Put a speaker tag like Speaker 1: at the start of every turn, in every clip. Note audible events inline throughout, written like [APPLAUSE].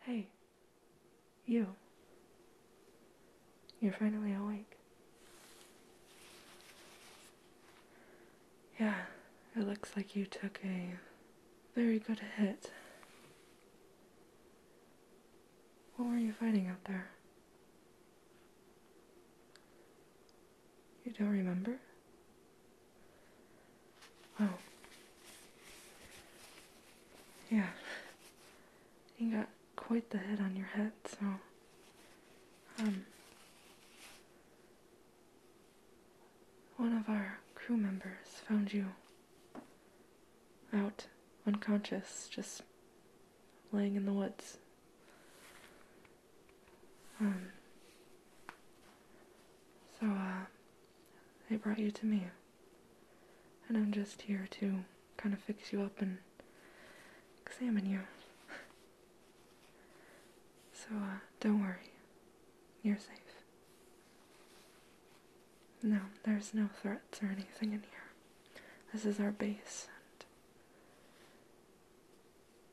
Speaker 1: Hey, you. You're finally awake. Yeah, it looks like you took a very good hit. What were you fighting out there? You don't remember? Wow. Yeah. You got quite the head on your head, so um one of our crew members found you out unconscious, just laying in the woods. Um so, uh, they brought you to me. And I'm just here to kind of fix you up and examine you. so, uh, don't worry. You're safe. No, there's no threats or anything in here. This is our base, and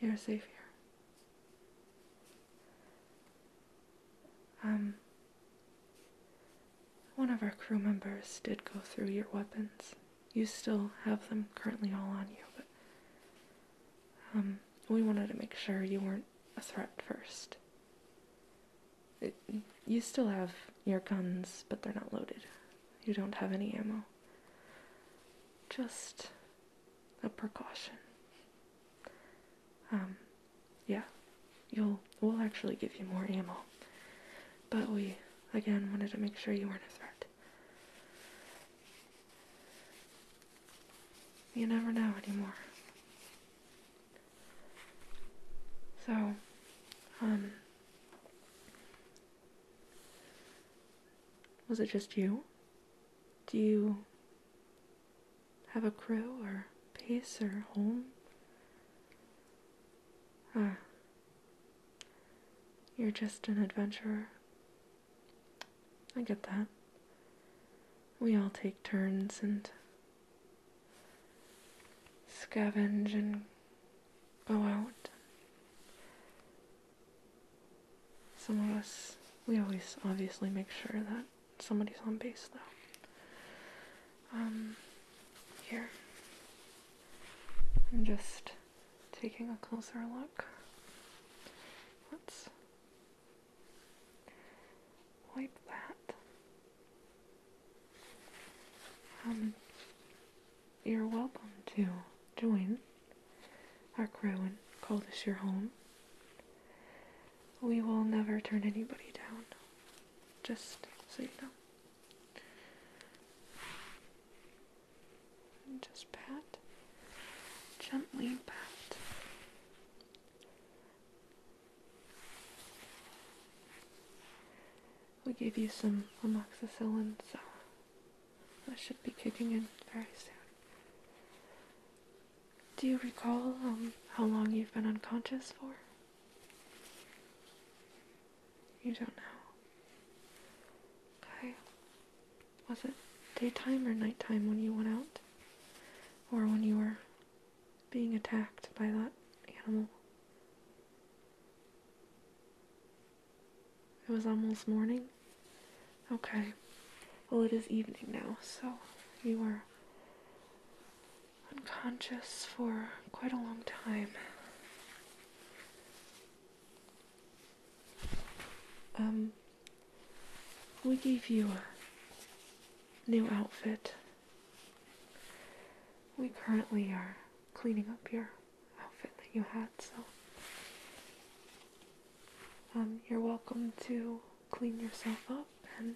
Speaker 1: you're safe here. Um, one of our crew members did go through your weapons. You still have them currently all on you, but um, we wanted to make sure you weren't a threat first. you still have your guns, but they're not loaded. You don't have any ammo. Just a precaution. Um, yeah, you'll we'll actually give you more ammo, but we again wanted to make sure you weren't a threat. You never know anymore. So, um, was it just you? Do you have a crow or pacer home? Ah, you're just an adventurer. I get that. We all take turns and scavenge and go out, some of us, we always obviously make sure that somebody's on base though. Um, here. I'm just taking a closer look. Let's wipe that. Um, you're welcome to join our Crowan call this your home. We will never turn anybody down, just so you know. And just pat, gently pat. We gave you some amoxicillin, so that should be kicking in very soon. Do you recall um, how long you've been unconscious for? You don't know. Okay. Was it daytime or nighttime when you went out? Or when you were being attacked by that animal? It was almost morning? Okay. Well, it is evening now, so you were unconscious for quite a long time. Um, we gave you a new outfit. We currently are cleaning up your outfit that you had. So um, you're welcome to clean yourself up, and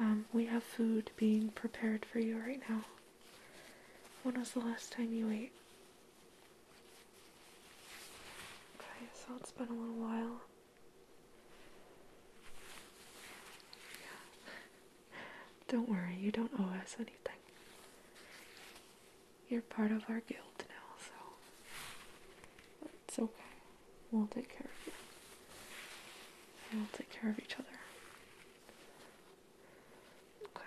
Speaker 1: um, we have food being prepared for you right now. When was the last time you ate? Okay, so it's been a little while. [LAUGHS] Don't worry, you don't owe us anything. You're part of our guild now, so it's okay. We'll take care of you. we'll take care of each other. Okay.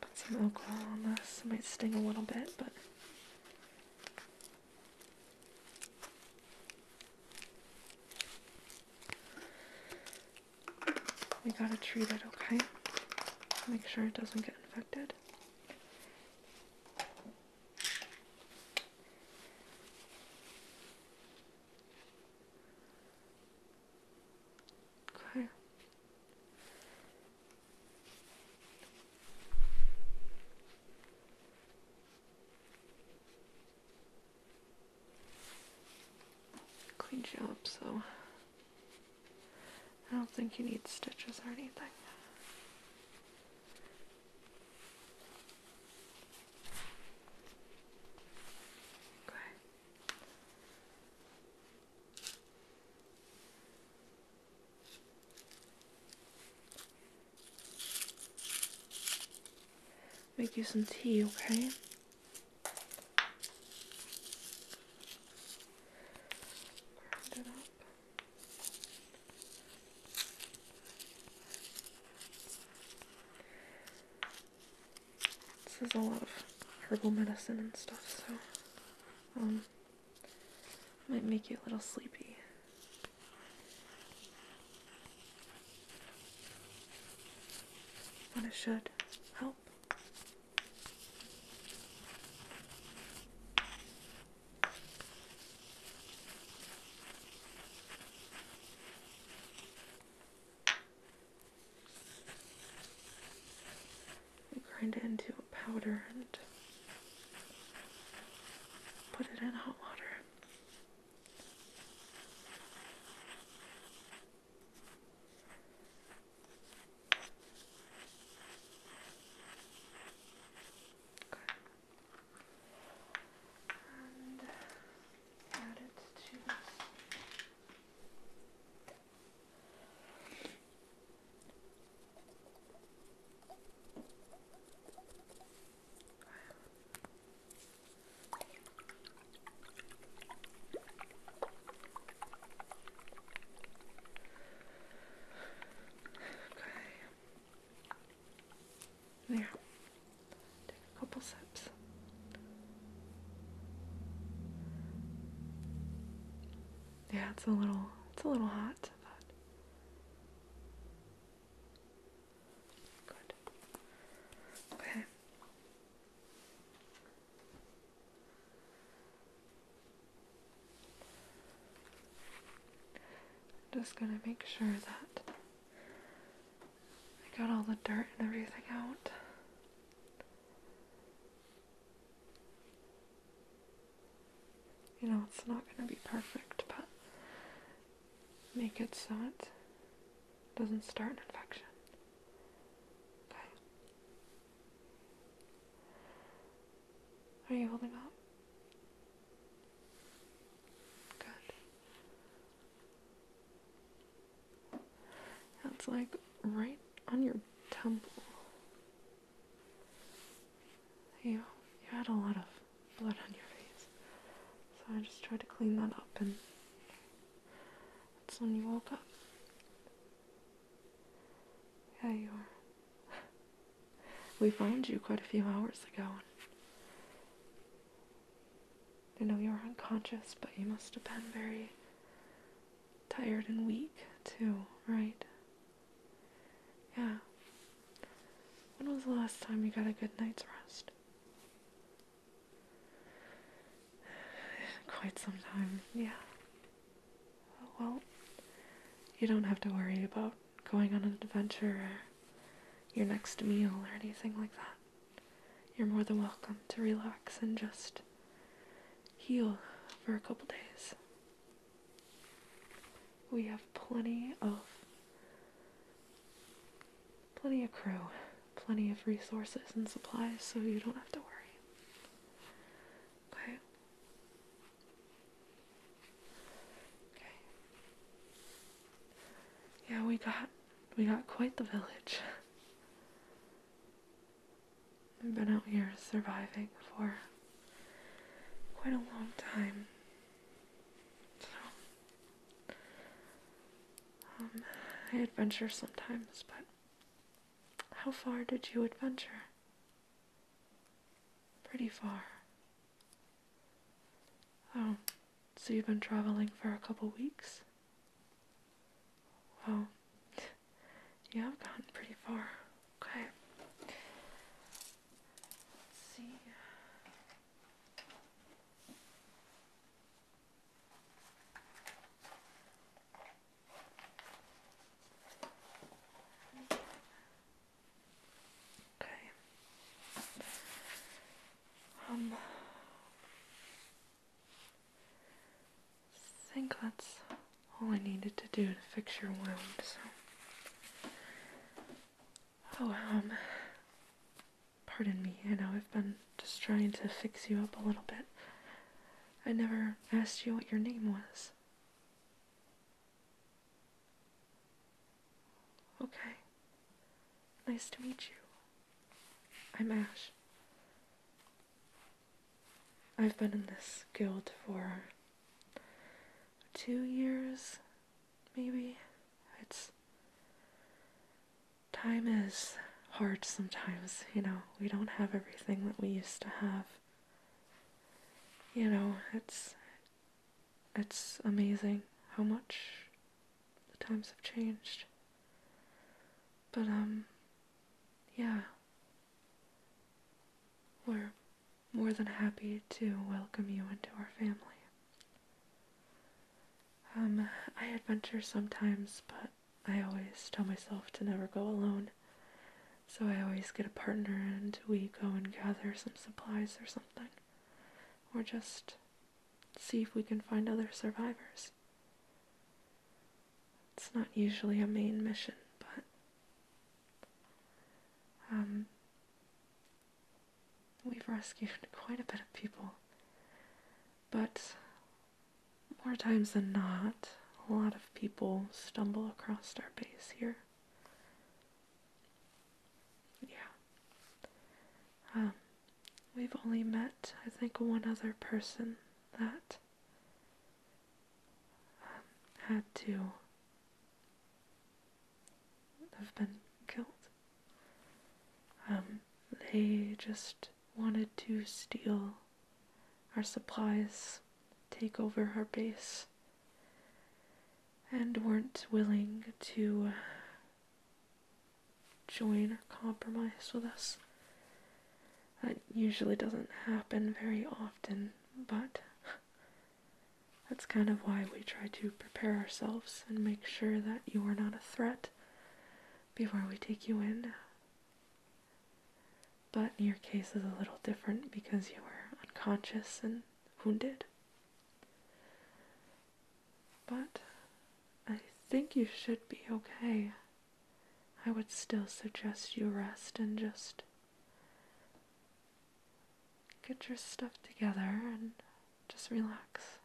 Speaker 1: Put some alcohol on this. It might sting a little bit, but we gotta treat it, okay? Make sure it doesn't get infected. Okay. Good job, so I don't think you need stitches or anything. Okay. Make you some tea, okay? This is a lot of herbal medicine and stuff, so um, might make you a little sleepy. But it should help grind it into a powder and put it in hot water. Okay. And add it to this. Okay. There. Take a couple sips. Yeah, it's a little it's a little hot, but good. Okay. just gonna make sure that I got all the dirt and everything out. You know, it's not going to be perfect, but make it so it doesn't start an infection. Okay. Are you holding up? Good. That's like right on your temple. You, you had a lot of blood on your face, so I just tried to clean that up, and that's when you woke up. Yeah, you are. [LAUGHS] we found you quite a few hours ago. I know you were unconscious, but you must have been very tired and weak too, right? Yeah. When was the last time you got a good night's rest? [SIGHS] Quite some time, yeah. Well, you don't have to worry about going on an adventure or your next meal or anything like that. You're more than welcome to relax and just heal for a couple days. We have plenty of plenty of crew, plenty of resources and supplies, so you don't have to worry. Okay. Okay. Yeah, we got we got quite the village. I've been out here surviving for quite a long time. So, um, I adventure sometimes, but how far did you adventure? Pretty far. Oh, so you've been traveling for a couple weeks? Well, you have gotten pretty far. Okay. Let's see. Okay. Um I think that's all I needed to do to fix your wound, so. Oh, um, pardon me, I know I've been just trying to fix you up a little bit. I never asked you what your name was. Okay. Nice to meet you. I'm Ash. I've been in this guild for two years, maybe. It's. Time is hard sometimes, you know. We don't have everything that we used to have. You know, it's. It's amazing how much the times have changed. But, um, yeah. We're more than happy to welcome you into our family. Um, I adventure sometimes, but I always tell myself to never go alone. So I always get a partner and we go and gather some supplies or something. Or just see if we can find other survivors. It's not usually a main mission, but um, we've rescued quite a bit of people. But more times than not, a lot of people stumble across our base here. Yeah. Um, We've only met, I think, one other person that um, had to have been killed. Um, they just wanted to steal our supplies, take over our base, and weren't willing to join or compromise with us. That usually doesn't happen very often, but that's kind of why we try to prepare ourselves and make sure that you are not a threat before we take you in. But your case is a little different because you were unconscious and wounded. But I think you should be okay. I would still suggest you rest and just get your stuff together and just relax.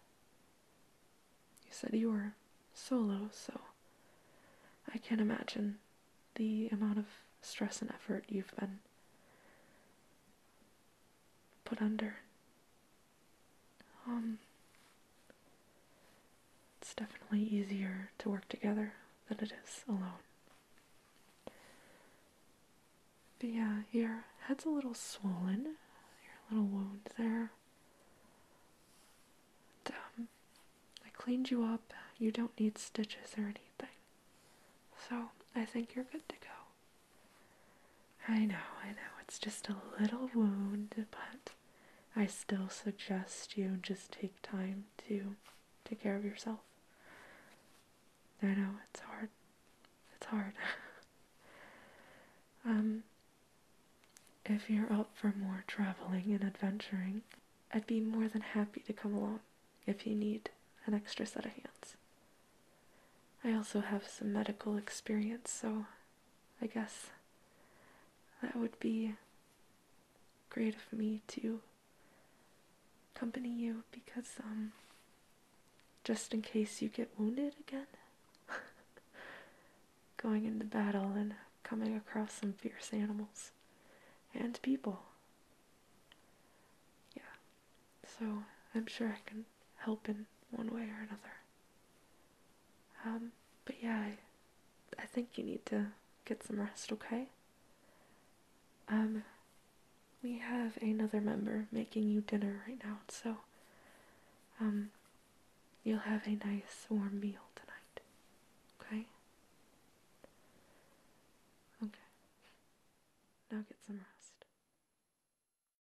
Speaker 1: You said you were solo, so I can't imagine the amount of stress and effort you've been put under. Um, it's definitely easier to work together than it is alone. But yeah, your head's a little swollen, your little wound there. Um, I cleaned you up. You don't need stitches or anything. So I think you're good to go. I know, I know, it's just a little wound, but I still suggest you just take time to take care of yourself. I know, it's hard. It's hard. [LAUGHS] um, if you're up for more traveling and adventuring, I'd be more than happy to come along if you need an extra set of hands. I also have some medical experience, so I guess that would be great of me to accompany you because, um, just in case you get wounded again, [LAUGHS] going into battle and coming across some fierce animals and people. Yeah, so I'm sure I can help in one way or another. Um, but yeah, I, think you need to get some rest, okay? Um, we have another member making you dinner right now, so, um, you'll have a nice warm meal tonight, okay? Okay. Now get some rest.